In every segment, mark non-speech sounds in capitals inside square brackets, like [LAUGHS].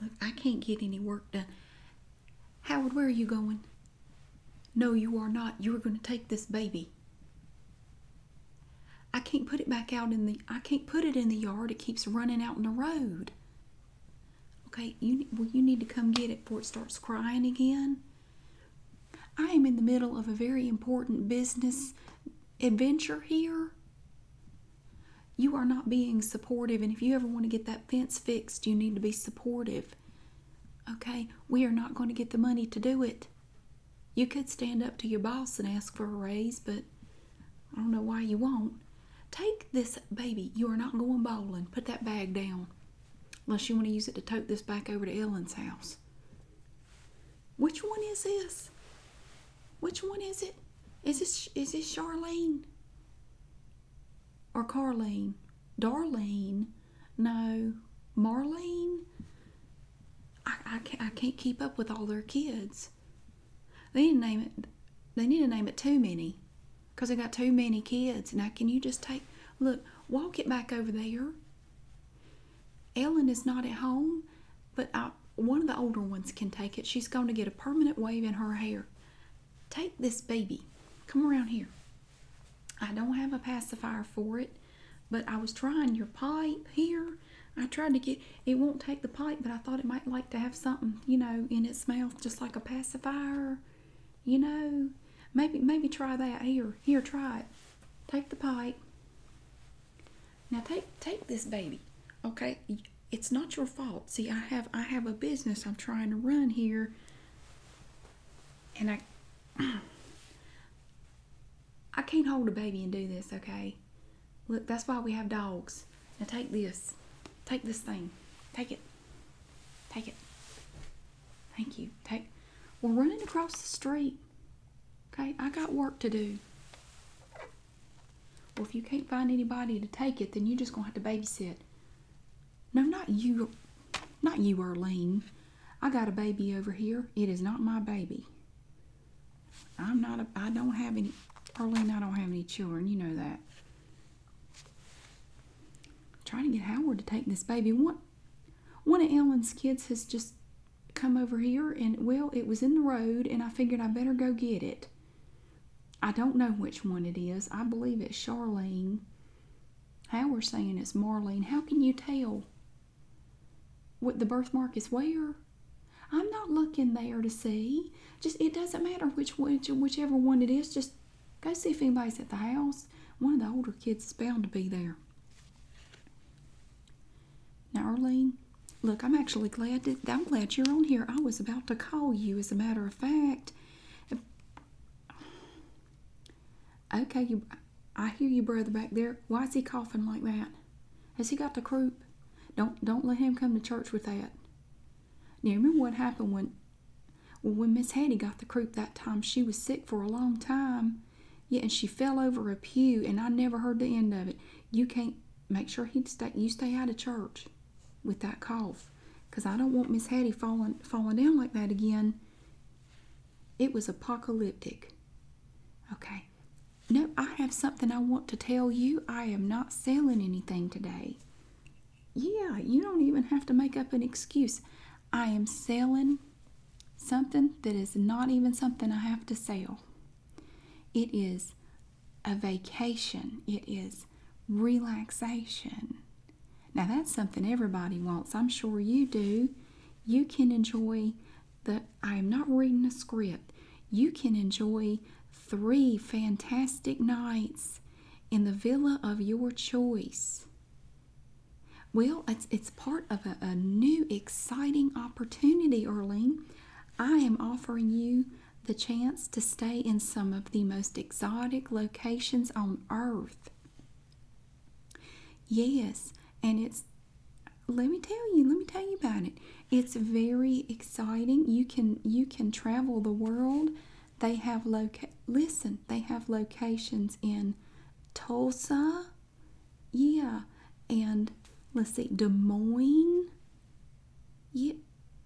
Look, I can't get any work done. Howard, where are you going? No, you are not. You are going to take this baby. I can't put it back out in the I can't put it in the yard. It keeps running out in the road. Okay, you well you need to come get it before it starts crying again. I am in the middle of a very important business adventure here. You are not being supportive, and if you ever want to get that fence fixed, you need to be supportive. Okay, we are not going to get the money to do it. You could stand up to your boss and ask for a raise, but I don't know why you won't. Take this baby. You are not going bowling. Put that bag down. Unless you want to use it to tote this back over to Ellen's house. Which one is this? Which one is it? Is this is this Charlene or Carlene? Darlene? No, Marlene. I, I can't, keep up with all their kids. They need to name it. They need to name it too many, cause they got too many kids. Now, can you just take look? Walk it back over there. Ellen is not at home, but one of the older ones can take it. She's going to get a permanent wave in her hair. Take this baby. Come around here. I don't have a pacifier for it, but I was trying your pipe here. I tried to get, it won't take the pipe, but I thought it might like to have something, you know, in its mouth, just like a pacifier, you know. Maybe, maybe try that here. Here, try it. Take the pipe. Now take take this baby, okay? It's not your fault. See, I have I have a business I'm trying to run here, and I [CLEARS THROAT] I can't hold a baby and do this, okay? Look, that's why we have dogs. And take this, take this thing, take it, take it. Thank you. Take. We're running across the street. Okay, I got work to do. Well, if you can't find anybody to take it, then you're just going to have to babysit. No, not you, not you, Erlene. I got a baby over here. It is not my baby. I'm not a, I don't have any, Erlene, I don't have any children. You know that. trying to get Howard to take this baby. One, one of Ellen's kids has just come over here and well it was in the road and i figured i better go get it i don't know which one it is i believe it's charlene how we're saying it's marlene how can you tell what the birthmark is where i'm not looking there to see just it doesn't matter which, which whichever one it is just go see if anybody's at the house one of the older kids is bound to be there now, Arlene, look, I'm actually glad that I'm glad you're on here. I was about to call you, as a matter of fact. Okay, you. I hear you, brother, back there. Why is he coughing like that? Has he got the croup? Don't don't let him come to church with that. Now remember what happened when when Miss Hattie got the croup that time. She was sick for a long time, yeah, and she fell over a pew, and I never heard the end of it. You can't make sure he stay. You stay out of church with that cough, cause I don't want Miss Hattie falling falling down like that again. It was apocalyptic. Okay. No, I have something I want to tell you. I am not selling anything today. Yeah, you don't even have to make up an excuse. I am selling Something that is not even something I have to sell. It is a vacation, it is relaxation. Now, that's something everybody wants. I'm sure you do. You can enjoy the, I am not reading a script. You can enjoy three fantastic nights in the villa of your choice. Well, it's, it's part of a, new exciting opportunity, Earlene. I am offering you the chance to stay in some of the most exotic locations on earth. Yes, and it's let me tell you, let me tell you about it. It's very exciting. You can you can travel the world. They have loca listen, they have locations in Tulsa, yeah. And let's see, Des Moines. Yeah.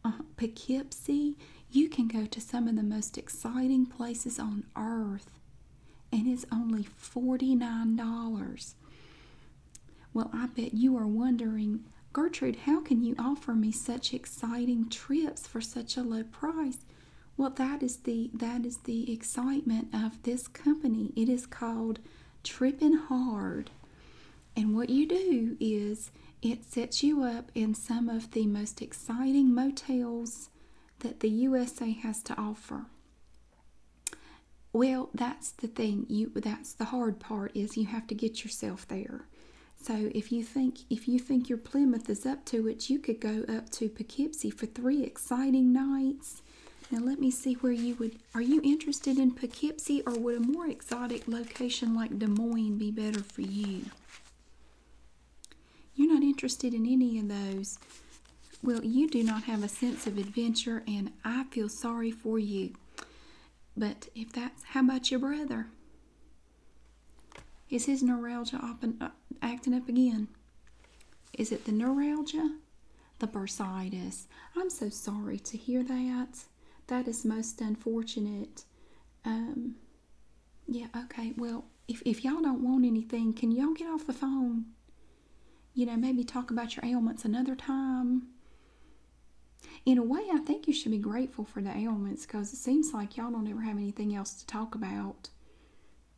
Uh, Poughkeepsie, you can go to some of the most exciting places on earth, and it's only $49. Well, I bet you are wondering, Gertrude, how can you offer me such exciting trips for such a low price? Well, that is the that is the excitement of this company. It is called Tripping Hard. And what you do is it sets you up in some of the most exciting motels that the USA has to offer. Well, that's the thing. You that's the hard part is you have to get yourself there. So if you think if you think your Plymouth is up to it, you could go up to Poughkeepsie for three exciting nights now let me see where you would. Are you interested in Poughkeepsie or would a more exotic location like Des Moines be better for you? You're not interested in any of those. Well, you do not have a sense of adventure, and I feel sorry for you. But if that's, how about your brother? Is his neuralgia uh, acting up again? Is it the neuralgia? the bursitis. I'm so sorry to hear that. That is most unfortunate. Um, yeah, okay. Well, if, if y'all don't want anything, can y'all get off the phone? You know, maybe talk about your ailments another time. In a way, I think you should be grateful for the ailments because it seems like y'all don't ever have anything else to talk about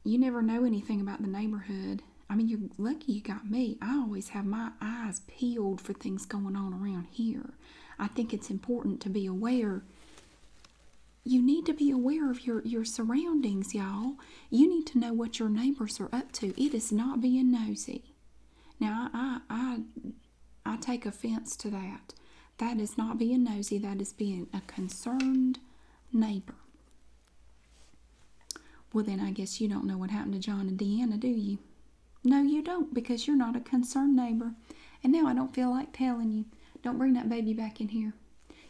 you never know anything about the neighborhood. I mean, you're lucky you got me. I always have my eyes peeled for things going on around here. I think it's important to be aware. You need to be aware of your, your surroundings, y'all. You need to know what your neighbors are up to. It is not being nosy. Now, I, I, I, take offense to that. That is not being nosy, that is being a concerned neighbor. Well, then I guess you don't know what happened to John and Deanna, do you? No, you don't, because you're not a concerned neighbor. And now I don't feel like telling you. Don't bring that baby back in here.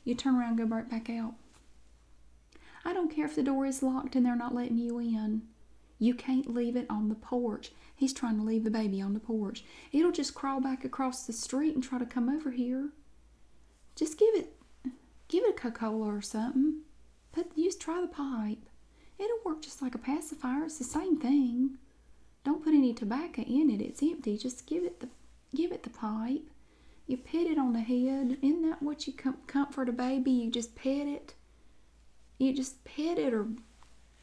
You turn around and go right back out. I don't care if the door is locked and they're not letting you in. You can't leave it on the porch. He's trying to leave the baby on the porch. It'll just crawl back across the street and try to come over here. Just give it, give it a Coca-Cola or something. Put, use try the pipe. It'll work just like a pacifier. It's the same thing. Don't put any tobacco in it. It's empty. Just give it the, give it the pipe. You pet it on the head. Isn't that what you comfort a baby? You just pet it. You just pet it or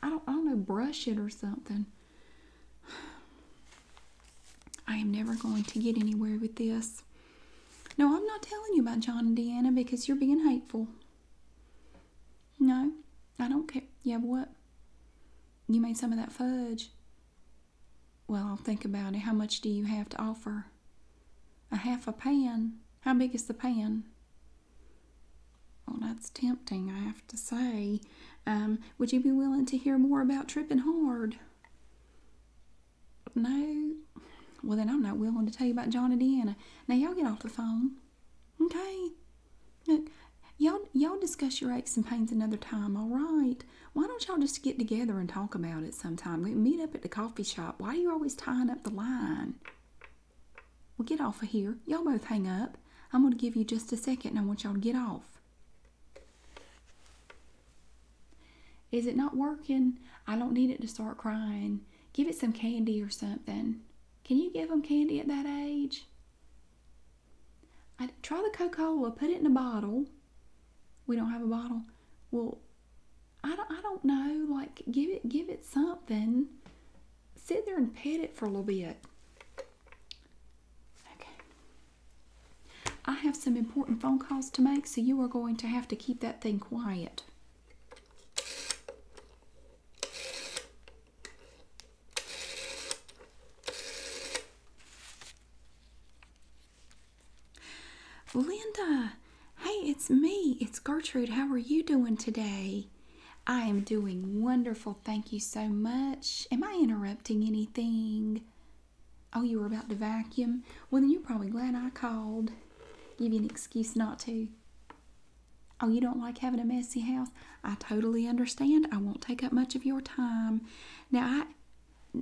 I don't know, brush it or something. I am never going to get anywhere with this. No, I'm not telling you about John and Deanna because you're being hateful. No, I don't care. Yeah, what? You made some of that fudge. Well, I'll think about it. How much do you have to offer? A half a pan. How big is the pan? Well, that's tempting, I have to say. Um, would you be willing to hear more about tripping hard? No. Well, then I'm not willing to tell you about John and Deanna. Now, y'all get off the phone. Okay? Look, y'all, y'all discuss your aches and pains another time, all right? Why don't y'all just get together and talk about it sometime? We meet up at the coffee shop. Why are you always tying up the line? Well, get off of here. Y'all both hang up. I'm going to give you just a second and I want y'all to get off. Is it not working? I don't need it to start crying. Give it some candy or something. Can you give him candy at that age? I, try the Coca Cola, put it in a bottle. We don't have a bottle. Well, I don't, I don't know. Like, give it, give it something. Sit there and pet it for a little bit. Okay. I have some important phone calls to make, so you are going to have to keep that thing quiet. Linda, hey, it's me. It's Gertrude. How are you doing today? I am doing wonderful. Thank you so much. Am I interrupting anything? Oh, you were about to vacuum? Well, then you're probably glad I called. Give you an excuse not to. Oh, you don't like having a messy house? I totally understand. I won't take up much of your time. Now, I.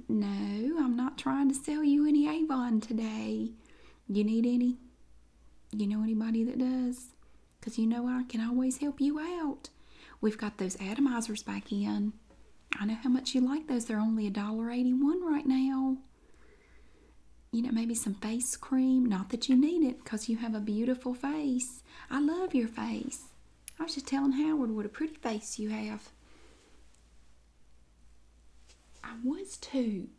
No, I'm not trying to sell you any Avon today. You need any? You know anybody that does? Because you know I can always help you out. We've got those atomizers back in. I know how much you like those. They're only a dollar eighty-one right now. You know, maybe some face cream. Not that you need it, because you have a beautiful face. I love your face. I was just telling Howard what a pretty face you have. I was too.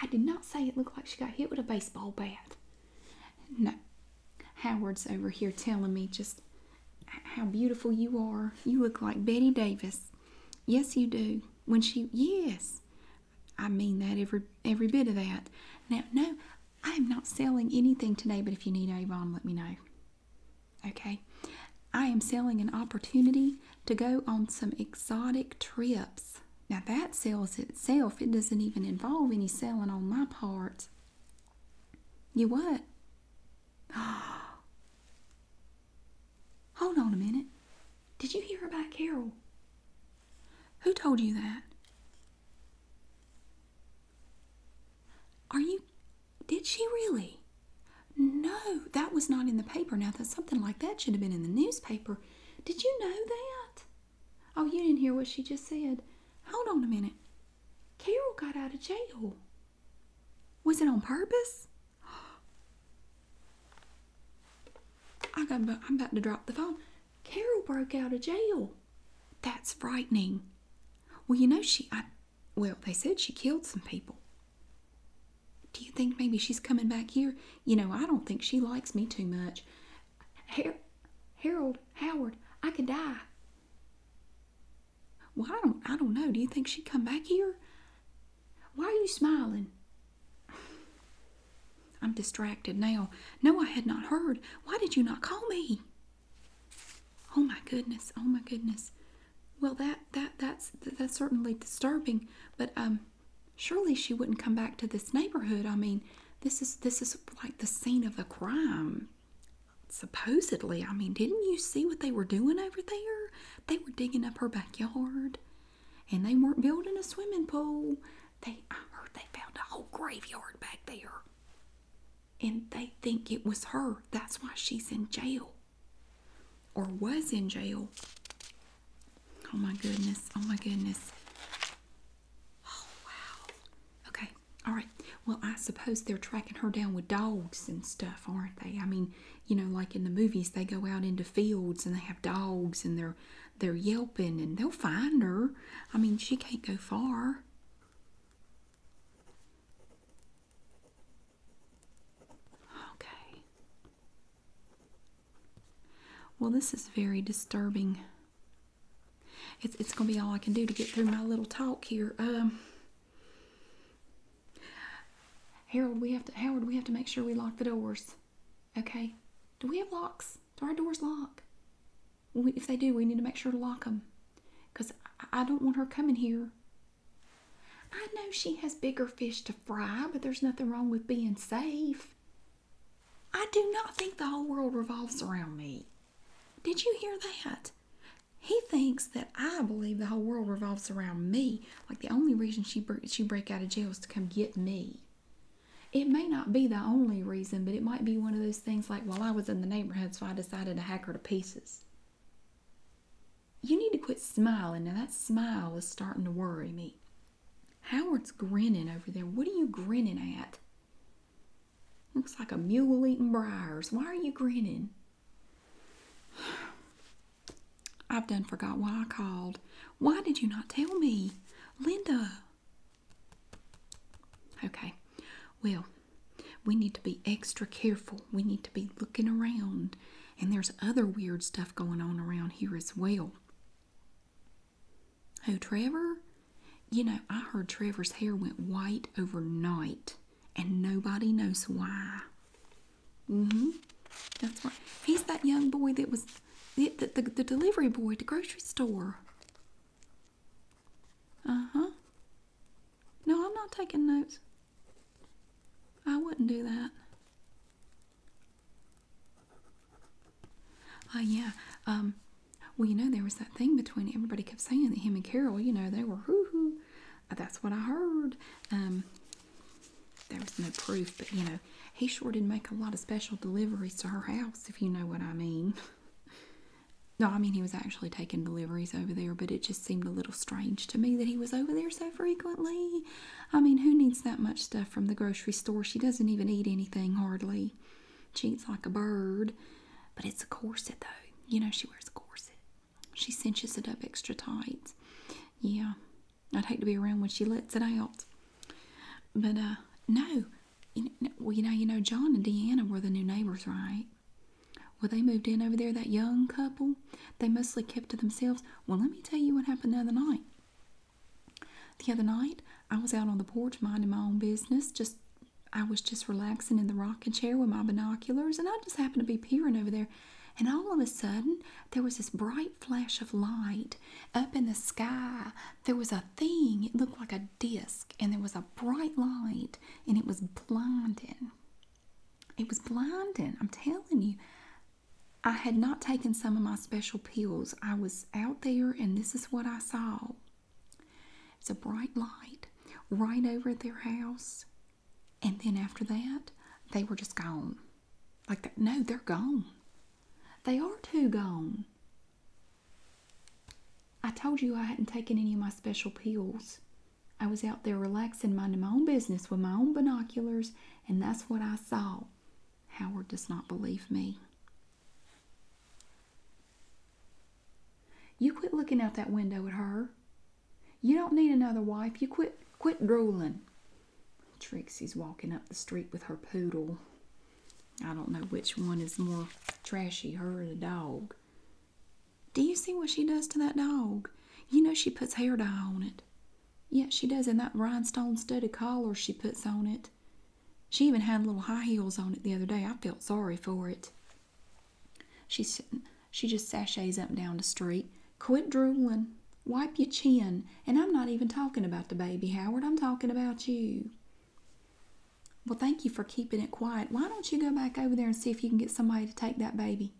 I did not say it looked like she got hit with a baseball bat. No. Howard's over here telling me just how beautiful you are. You look like Betty Davis. Yes, you do. When she, yes, I mean that every every bit of that. Now, no, I am not selling anything today. But if you need Avon, let me know. Okay, I am selling an opportunity to go on some exotic trips. Now that sells itself. It doesn't even involve any selling on my part. You what? [GASPS] Hold on a minute. Did you hear about Carol? Who told you that? Are you. Did she really? No, that was not in the paper. Now, that something like that should have been in the newspaper. Did you know that? Oh, you didn't hear what she just said. Hold on a minute. Carol got out of jail. Was it on purpose? I got, I'm about to drop the phone. Carol broke out of jail. That's frightening. Well, you know, she, I, well, they said she killed some people. Do you think maybe she's coming back here? You know, I don't think she likes me too much. Her- Harold, Howard, I could die. Well, I don't, I don't know. Do you think she'd come back here? Why are you smiling? I'm distracted now. No, I had not heard. Why did you not call me? Oh my goodness. Oh my goodness. Well, that that that's that's certainly disturbing. But um, surely she wouldn't come back to this neighborhood. I mean, this is this is like the scene of the crime supposedly, I mean, didn't you see what they were doing over there? They were digging up her backyard and they weren't building a swimming pool. They I heard they found a whole graveyard back there. And they think it was her. That's why she's in jail. Or was in jail. Oh my goodness. Oh my goodness. Oh wow. Okay. All right. Well, I suppose they're tracking her down with dogs and stuff aren't they? I mean, you know, like in the movies, they go out into fields and they have dogs and they're they're yelping and they'll find her. I mean, she can't go far. Okay. Well, this is very disturbing. It's, it's going to be all I can do to get through my little talk here. Um, Harold, we have to Howard, we have to make sure we lock the doors. Okay? Do we have locks? Do our doors lock? if they do, we need to make sure to lock them. Because I don't want her coming here. I know she has bigger fish to fry, but there's nothing wrong with being safe. I do not think the whole world revolves around me. Did you hear that? He thinks that I believe the whole world revolves around me. Like the only reason she she break out of jail is to come get me. It may not be the only reason, but it might be one of those things like, while I was in the neighborhood, so I decided to hack her to pieces. You need to quit smiling. Now, that smile is starting to worry me. Howard's grinning over there. What are you grinning at? Looks like a mule eating briars. Why are you grinning? I've done forgot why I called. Why did you not tell me? Linda. Okay. Well, we need to be extra careful. We need to be looking around. And there's other weird stuff going on around here as well. Oh, Trevor? You know, I heard Trevor's hair went white overnight and nobody knows why. Mm-hmm. That's right. He's that young boy that was the, delivery boy at the grocery store. Uh-huh. No, I'm not taking notes. I wouldn't do that. Oh, yeah. Um, well, you know, there was that thing between everybody kept saying that him and Carol, you know, they were hoo hoo. Uh, that's what I heard. Um, there was no proof, but you know, he sure did make a lot of special deliveries to her house, if you know what I mean. [LAUGHS] no, I mean, he was actually taking deliveries over there, but it just seemed a little strange to me that he was over there so frequently. I mean, who needs that much stuff from the grocery store? She doesn't even eat anything hardly. She eats like a bird, but it's a corset, though. You know, she wears a corset. She cinches it up extra tight. Yeah, I'd hate to be around when she lets it out. But uh, no, you know, well, you know, you know, John and Deanna were the new neighbors, right? Well, they moved in over there. That young couple, they mostly kept to themselves. Well, let me tell you what happened the other night. The other night, I was out on the porch minding my own business. Just, I was just relaxing in the rocking chair rocking chair with my binoculars, and I just happened to be peering over there. And all of a sudden, there was this bright flash of light up in the sky. There was a thing, it looked like a disc, and there was a bright light, and it was blinding. It was blinding, I'm telling you. I had not taken some of my special pills. I was out there, and this is what I saw. It's a bright light right over their house and then after that, they were just gone. Like that. No, they're gone. They are too gone. I told you I hadn't taken any of my special pills. I was out there relaxing, minding my own business with my own binoculars, and that's what I saw. Howard does not believe me. You quit looking out that window at her. You don't need another wife. You quit quit drooling. Trixie's walking up the street with her poodle. I don't know which one is more trashy, her or the dog. Do you see what she does to that dog? You know she puts hair dye on it. Yes, she does, and that rhinestone studded collar she puts on it. She even had little high heels on it the other day. I felt sorry for it. She, she just sashays up and down the street. Quit drooling. Wipe your chin. And I'm not even talking about the baby, Howard. I'm talking about you. Well, thank you for keeping it quiet. Why don't you go back over there and see if you can get somebody to take that baby?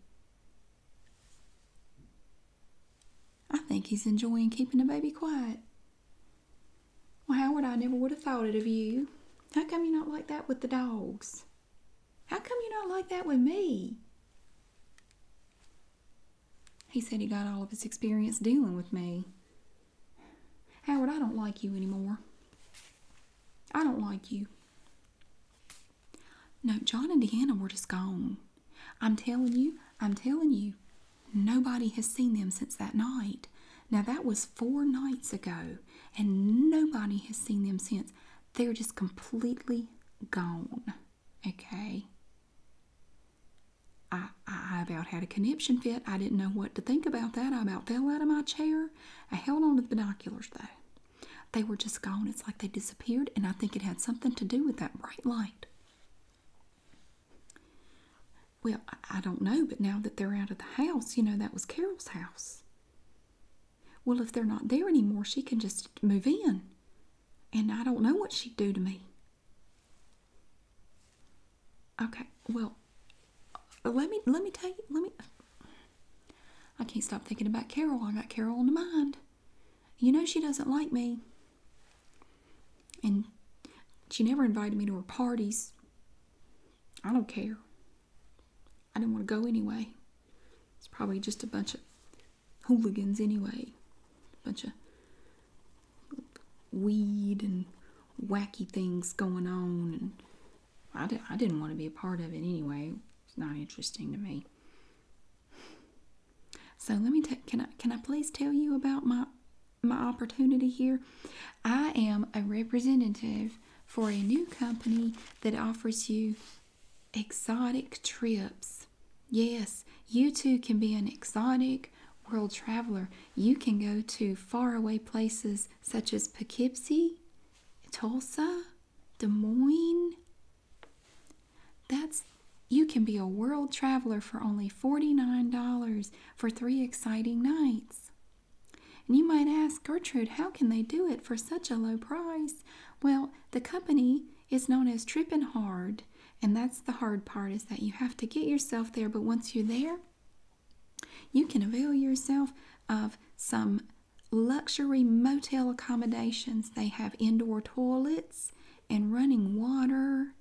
I think he's enjoying keeping the baby quiet. Well, Howard, I never would have thought it of you. How come you're not like that with the dogs? How come you're not like that with me? He said he got all of his experience dealing with me. Howard, I don't like you anymore. I don't like you. No, John and Deanna were just gone. I'm telling you, I'm telling you, nobody has seen them since that night. Now, that was four nights ago, and nobody has seen them since they're just completely gone. Okay. I, I about had a conniption fit. I didn't know what to think about that. I about fell out of my chair. I held on to the binoculars though. They were just gone. It's like they disappeared, and I think it had something to do with that bright light. Well, I, I don't know, but now that they're out of the house, you know, that was Carol's house. Well, if they're not there anymore, she can just move in. And I don't know what she'd do to me. Okay, well, uh, let me let me tell you, let me I can't stop thinking about Carol. I got Carol in the mind. You know she doesn't like me. And she never invited me to her parties. I don't care. I didn't want to go anyway. It's probably just a bunch of hooligans anyway. A bunch of weed and wacky things going on. And I, didn't want to be a part of it anyway. It's not interesting to me. So let me can I can I please tell you about my my opportunity here? I am a representative for a new company that offers you Exotic trips. Yes, you too can be an exotic world traveler. You can go to faraway places such as Poughkeepsie, Tulsa, Des Moines. That's you can be a world traveler for only $49 for three exciting nights. And you might ask, Gertrude, how can they do it for such a low price? Well, the company is known as Trippin' Hard, and that's the hard part is that you have to get yourself there, but once you're there, you can avail yourself of some luxury motel accommodations. They have indoor toilets and running water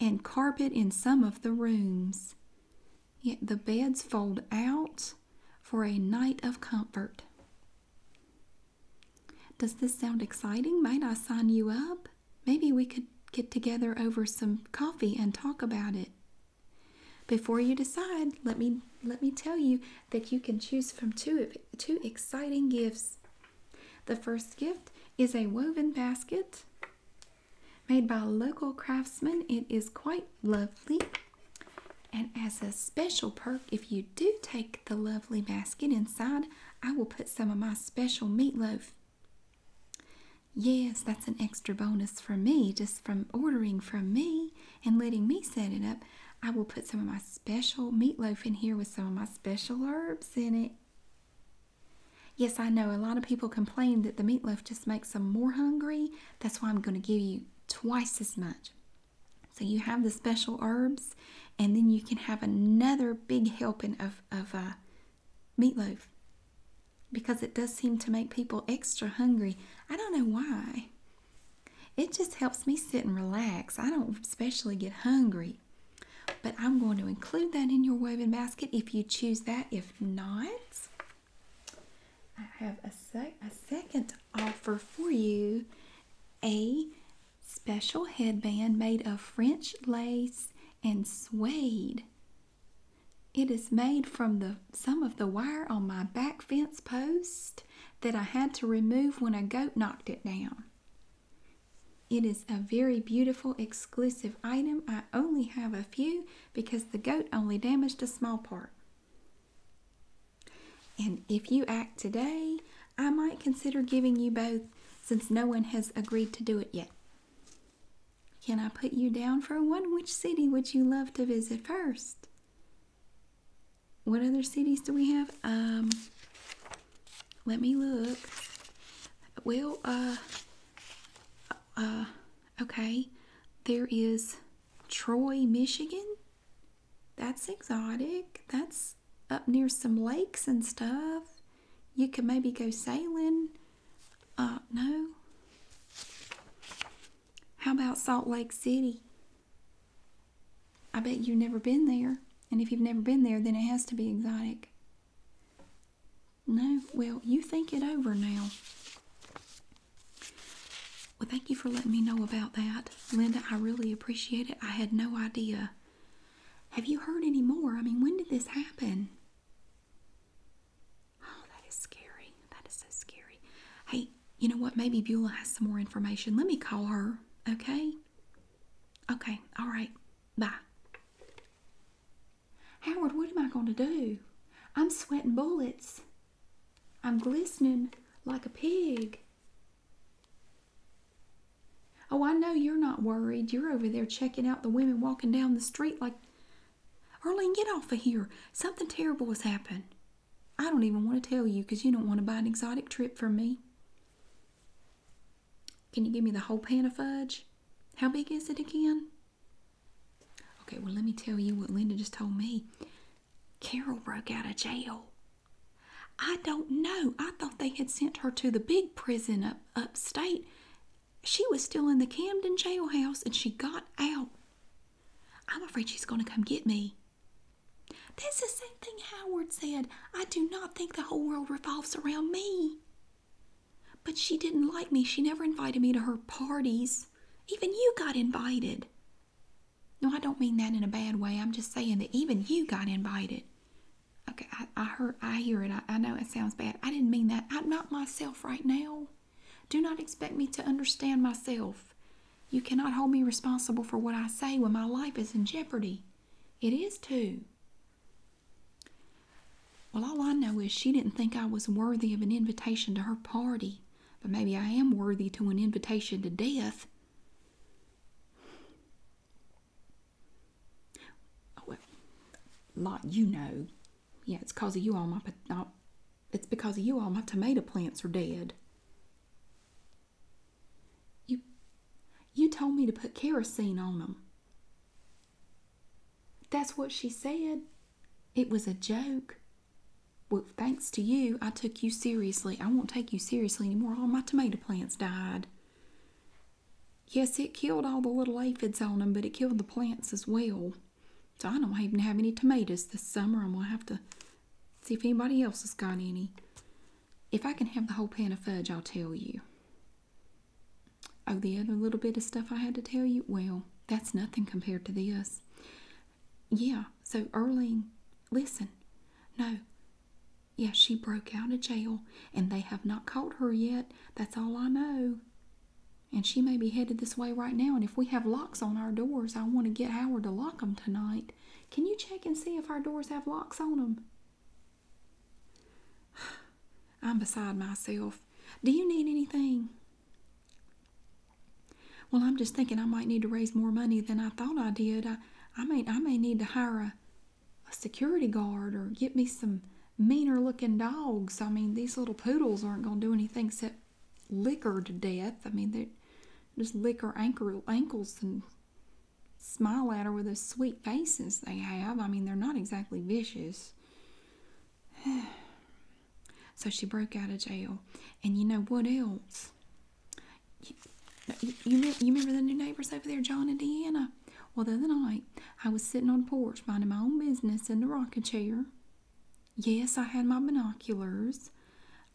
and carpet in some of the rooms. Yet the beds fold out for a night of comfort. Does this sound exciting? Might I sign you up? Maybe we could get together over some coffee and talk about it. Before you decide, let me let me tell you that you can choose from two two exciting gifts. The first gift is a woven basket made by local craftsmen. It is quite lovely. And as a special perk, if you do take the lovely basket inside, I will put some of my special meatloaf. Yes, that's an extra bonus for me, just from ordering from me and letting me set it up. I will put some of my special meatloaf in here with some of my special herbs in it. Yes, I know a lot of people complain that the meatloaf just makes them more hungry. That's why I'm going to give you twice as much. So you have the special herbs, and then you can have another big helping of, of uh, meatloaf because it does seem to make people extra hungry. I don't know why. It just helps me sit and relax. I don't especially get hungry. But I'm going to include that in your woven basket if you choose that. If not, I have a, sec a second offer for you a special headband made of French lace and suede. It is made from the some of the wire on my back fence post that I had to remove when a goat knocked it down. It is a very beautiful exclusive item. I only have a few because the goat only damaged a small part. And if you act today, I might consider giving you both since no one has agreed to do it yet. Can I put you down for one? Which city would you love to visit first? What other cities do we have? Um, let me look. Well, uh, uh, okay. There is Troy, Michigan. That's exotic. That's up near some lakes and stuff. You could maybe go sailing. Uh, no. How about Salt Lake City? I bet you've never been there. And if you've never been there, then it has to be exotic. No, well, you think it over now. Well, thank you for letting me know about that, Linda. I really appreciate it. I had no idea. Have you heard any more? I mean, when did this happen? Oh, that is scary. That is so scary. Hey, you know what? Maybe Beulah has some more information. Let me call her, okay? Okay, all right. Bye. Howard, what am I going to do? I'm sweating bullets. I'm glistening like a pig. Oh, I know you're not worried. You're over there checking out the women walking down the street like, Erlene, get off of here. Something terrible has happened. I don't even want to tell you because you don't want to buy an exotic trip for me. Can you give me the whole pan of fudge? How big is it again? Okay, well, let me tell you what Linda just told me. Carol broke out of jail. I don't know. I thought they had sent her to the big prison up upstate. She was still in the Camden jailhouse and she got out. I'm afraid she's going to come get me. That's the same thing Howard said. I do not think the whole world revolves around me. But she didn't like me. She never invited me to her parties. Even you got invited. No, I don't mean that in a bad way. I'm just saying that even you got invited. Okay, I, heard, I hear it. I know it sounds bad. I didn't mean that. I'm not myself right now. Do not expect me to understand myself. You cannot hold me responsible for what I say when my life is in jeopardy. It is too. Well, all I know is she didn't think I was worthy of an invitation to her party but maybe I am worthy to an invitation to death. Oh, well, Lot, you know. Yeah, it's because of you all my uh, it's because of you all my tomato plants are dead. You you told me to put kerosene on them. That's what she said. It was a joke. Well, thanks to you, I took you seriously. I won't take you seriously anymore. All my tomato plants died. Yes, it killed all the little aphids on them, but it killed the plants as well. So I don't even have any tomatoes this summer. I'm going to have to see if anybody else has got any. If I can have the whole pan of fudge, I'll tell you. Oh, the other little bit of stuff I had to tell you? Well, that's nothing compared to this. Yeah, so Erling, listen, no. yes, she broke out of jail and they have not caught her yet. That's all I know. And she may be headed this way right now. And if we have locks on our doors, I want to get Howard to lock 'em tonight. Can you check and see if our doors have locks on [SIGHS] I'm beside myself. Do you need anything? Well, I'm just thinking I might need to raise more money than I thought I did. I, I may, I may need to hire a, a security guard or get me some meaner looking dogs. I mean, these little poodles aren't going to do anything except lick her to death. I mean, they just lick her ankles and smile at her with those sweet faces they have. I mean, they're not exactly vicious. [SIGHS] [SIGHS] So she broke out of jail. And you know what else? You, you, remember the new neighbors over there, John and Deanna? Well, the other night, I was sitting on the porch minding my own business in the rocking chair. Yes, I had my binoculars.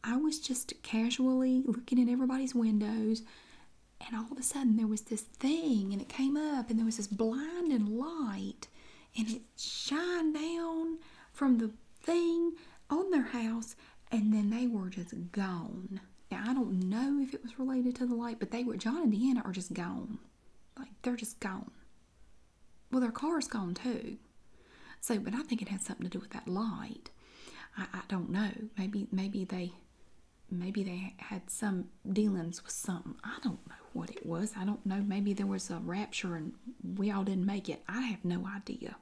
I was just casually looking at everybody's windows, and all of a sudden there was this thing, and it came up, and there was this blinding light, and it shine down from the thing on their house and then they were just gone. Now I don't know if it was related to the light, but they were John and Diana are just gone. Like they're just gone. Well their car's gone too. So but I think it had something to do with that light. I don't know. Maybe maybe they maybe they had some dealings with something. I don't know what it was. I don't know. Maybe there was a rapture and we all didn't make it. I have no idea.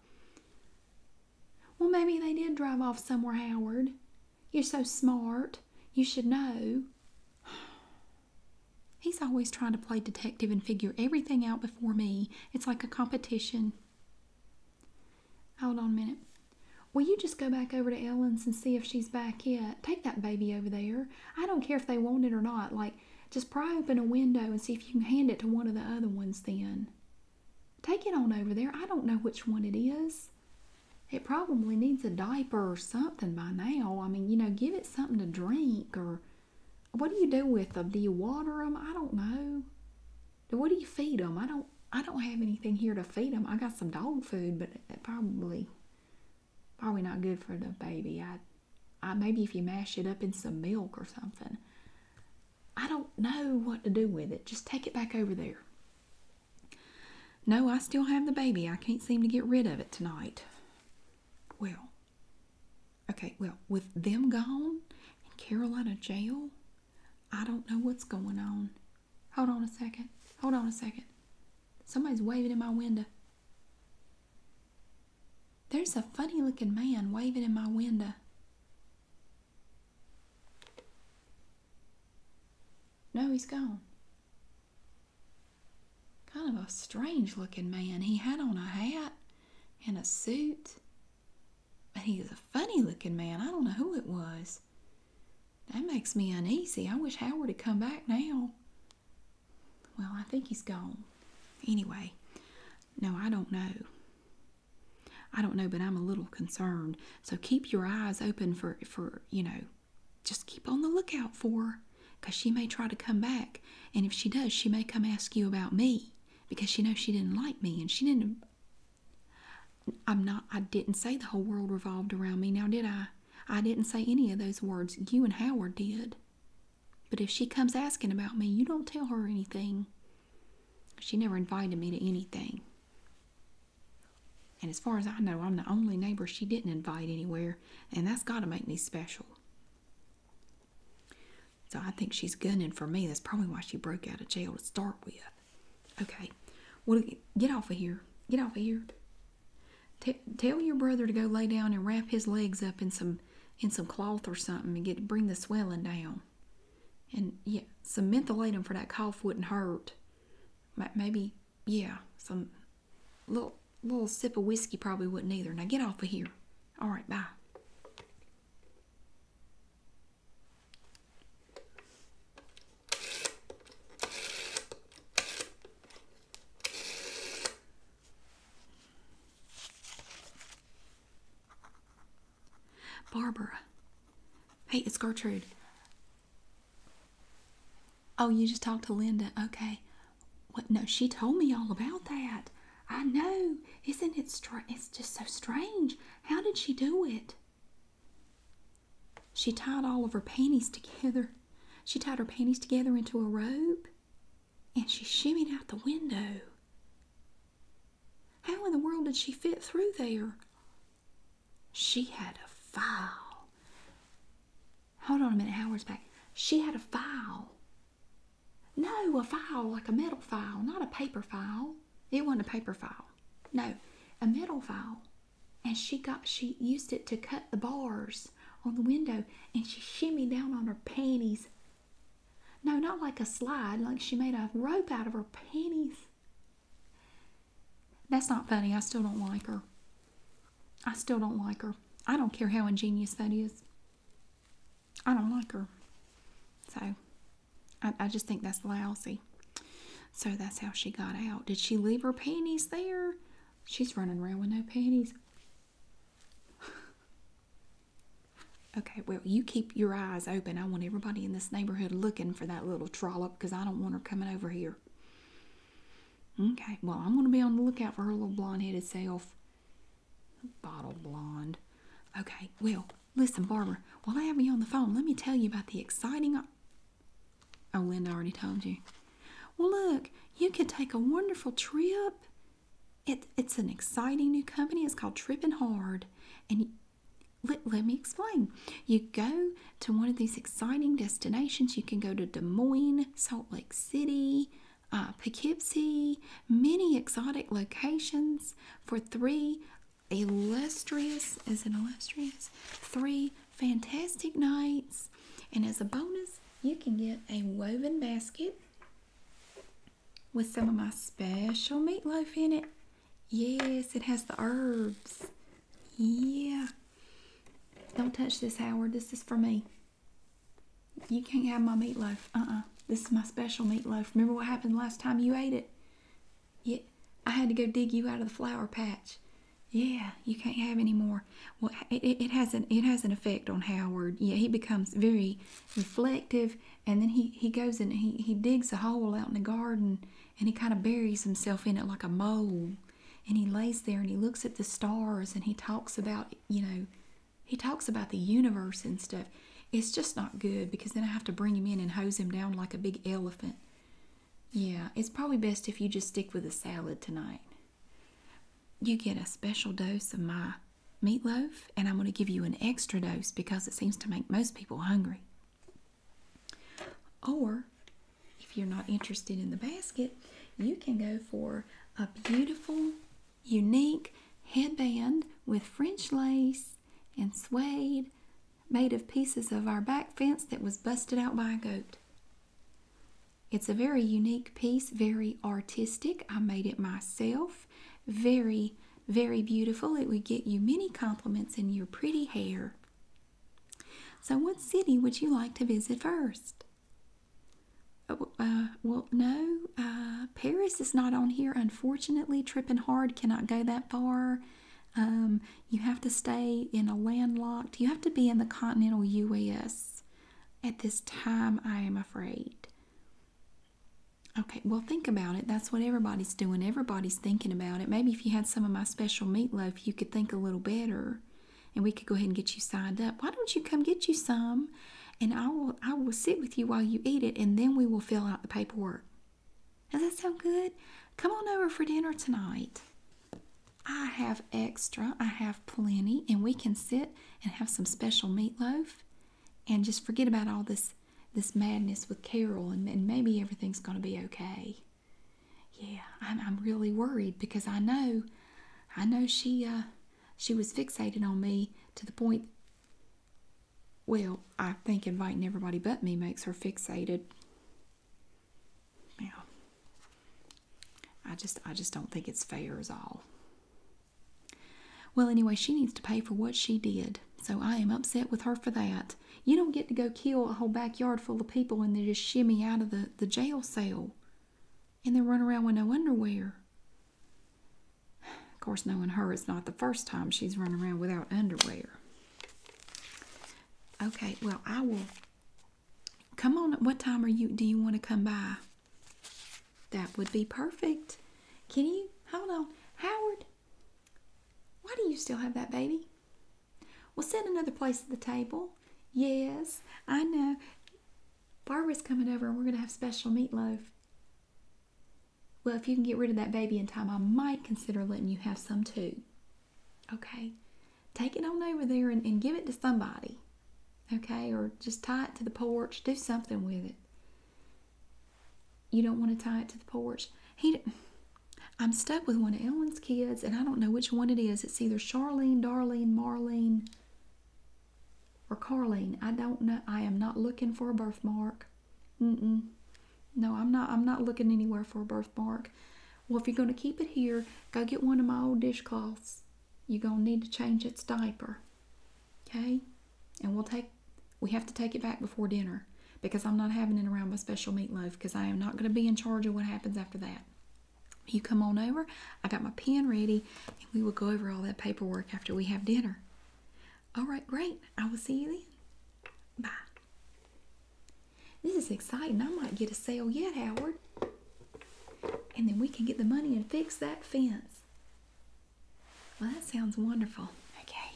Well, maybe they did drive off somewhere, Howard. You're so smart. You should know. [SIGHS] He's always trying to play detective and figure everything out before me. It's like a competition. Hold on a minute. Will you just go back over to Ellen's and see if she's back yet? Take that baby over there. I don't care if they want it or not. Like, just pry open a window and see if you can hand it to one of the other ones then. Take it on over there. I don't know which one it is. It probably needs a diaper or something by now. I mean, you know, give it something to drink or what do you do with them? Do you water them? I don't know. What do you feed them? I don't I don't have anything here to feed them. I got some dog food, but it probably probably not good for the baby. I I, maybe if you mash it up in some milk or something. I don't know what to do with it. Just take it back over there. No, I still have the baby. I can't seem to get rid of it tonight. Well, okay, well, with them gone and Carolina jail, I don't know what's going on. Hold on a second. Hold on a second. Somebody's waving in my window. There's a funny looking man waving in my window. No, he's gone. Kind of a strange looking man. He had on a hat and a suit. But he was a funny looking man. I don't know who it was. That makes me uneasy. I wish Howard had come back now. Well, I think he's gone. Anyway, no, I don't know. I don't know, but I'm a little concerned. So keep your eyes open for, for you know, just keep on the lookout for her because she may try to come back. And if she does, she may come ask you about me because she knows she didn't like me and she didn't. I'm not, I didn't say the whole world revolved around me now, did I? I didn't say any of those words. You and Howard did. But if she comes asking about me, you don't tell her anything. She never invited me to anything. And as far as I know, I'm the only neighbor she didn't invite anywhere, and that's got to make me special. So I think she's gunning for me. That's probably why she broke out of jail to start with. Okay, well, get off of here. Get off of here. tell your brother to go lay down and wrap his legs up in some in some cloth or something and get to bring the swelling down. And yeah, some mentholatum for that cough wouldn't hurt. Maybe yeah, some little little sip of whiskey probably wouldn't either. Now get off of here. All right, bye. Barbara. Hey, it's Gertrude. Oh, you just talked to Linda. Okay. What? No, she told me all about that. I know. Isn't it strange? It's just so strange. How did she do it? She tied all of her panties together. She tied her panties together into a rope and she shimmied out the window. How in the world did she fit through there? She had a file. Hold on a minute, Howard's back. She had a file. No, a file, like a metal file, not a paper file. It wasn't a paper file. No, a metal file. And she got she used it to cut the bars on the window and she shimmied down on her panties no, not like a slide, like she made a rope out of her panties. That's not funny. I still don't like her. I still don't like her. I don't care how ingenious that is. I don't like her. So, I, just think that's lousy. So, that's how she got out. Did she leave her panties there? She's running around with no panties. Okay, well, you keep your eyes open. I want everybody in this neighborhood looking for that little trollop because I don't want her coming over here. Okay, well, I'm going to be on the lookout for her little blonde headed self. Bottle blonde. Okay, well, listen, barber. while I have you on the phone, let me tell you about the exciting. Oh, Linda already told you. Well, look, you could take a wonderful trip it's an exciting new company. It's called Trippin' Hard. And let, let me explain. You go to one of these exciting destinations. You can go to Des Moines, Salt Lake City, uh, Poughkeepsie, many exotic locations for three illustrious, is it illustrious? Three fantastic nights. And as a bonus, you can get a woven basket with some of my special meatloaf in it. Yes, it has the herbs. Yeah. Don't touch this, Howard. This is for me. You can't have my meatloaf. Uh-uh. This is my special meatloaf. Remember what happened last time you ate it? Yeah. I had to go dig you out of the flower patch. Yeah, you can't have any more. Well, it, it, it has an it has an effect on Howard. Yeah, he becomes very reflective and then he he goes and he he digs a hole out in the garden and he kind of buries himself in it like a mole and he lays there and he looks at the stars and he talks about you know he talks about the universe and stuff it's just not good because then i have to bring him in and hose him down like a big elephant yeah it's probably best if you just stick with a salad tonight you get a special dose of my meatloaf, and I'm going to give you an extra dose because it seems to make most people hungry. Or if you're not interested in the basket, you can go for a beautiful, unique headband with French lace and suede made of pieces of our back fence that was busted out by a goat. It's a very unique piece, very artistic. I made it myself. Very, very beautiful. It would get you many compliments in your pretty hair. So, what city would you like to visit first? Uh, uh, well, no, uh, Paris is not on here. Unfortunately, tripping Hard cannot go that far. Um, you have to stay in a landlocked, you have to be in the continental U.S. at this time, I am afraid. Okay, well, think about it. That's what everybody's doing. Everybody's thinking about it. Maybe if you had some of my special meatloaf, you could think a little better and we could go ahead and get you signed up. Why don't you come get you some and I will, I will sit with you while you eat it and then we will fill out the paperwork. Does that sound good? Come on over for dinner tonight. I have extra, I have plenty, and we can sit and have some special meatloaf and just forget about all this this madness with Carol and, maybe everything's going to be okay. Yeah, I'm, I'm really worried because I know, I know she, uh, she was fixated on me to the point, well, I think inviting everybody but me makes her fixated. yeah. I just, I just don't think it's fair at all. Well, anyway, she needs to pay for what she did, so I am upset with her for that. You don't get to go kill a whole backyard full of people and then just shimmy out of the, the jail cell and then run around with no underwear. Of course, knowing her, it's not the first time she's run around without underwear. Okay, well, I will. Come on, what time are you? Do you want to come by? That would be perfect. Can you? Hold on. Howard, why do you still have that baby? We'll set another place at the table. Yes, I know. Barbara's coming over and we're going to have special meatloaf. Well, if you can get rid of that baby in time, I might consider letting you have some too. Okay, take it on over there and give it to somebody okay? Or just tie it to the porch. Do something with it. You don't want to tie it to the porch. He, I'm stuck with one of Ellen's kids, and I don't know which one it is. It's either Charlene, Darlene, Marlene, or Carlene. I don't know. I am not looking for a birthmark. Mm-mm. No, I'm not. I'm not looking anywhere for a birthmark. Well, if you're going to keep it here, go get one of my old dishcloths. You're going to need to change its diaper. Okay? And we'll take we have to take it back before dinner because I'm not having it around my special meatloaf because I am not going to be in charge of what happens after that. You come on over, I got my pen ready, and we will go over all that paperwork after we have dinner. All right, great. I will see you then. Bye. This is exciting. I might get a sale yet, Howard. And then we can get the money and fix that fence. Well, that sounds wonderful. Okay.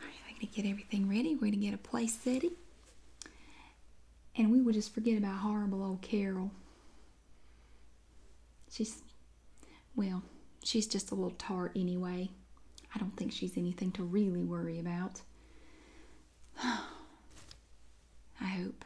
All right, I'm going to get everything ready. We're going to get a place ready, And we will just forget about horrible old Carol. She's, well, she's just a little tart anyway. I don't think she's anything to really worry about. [SIGHS] I hope.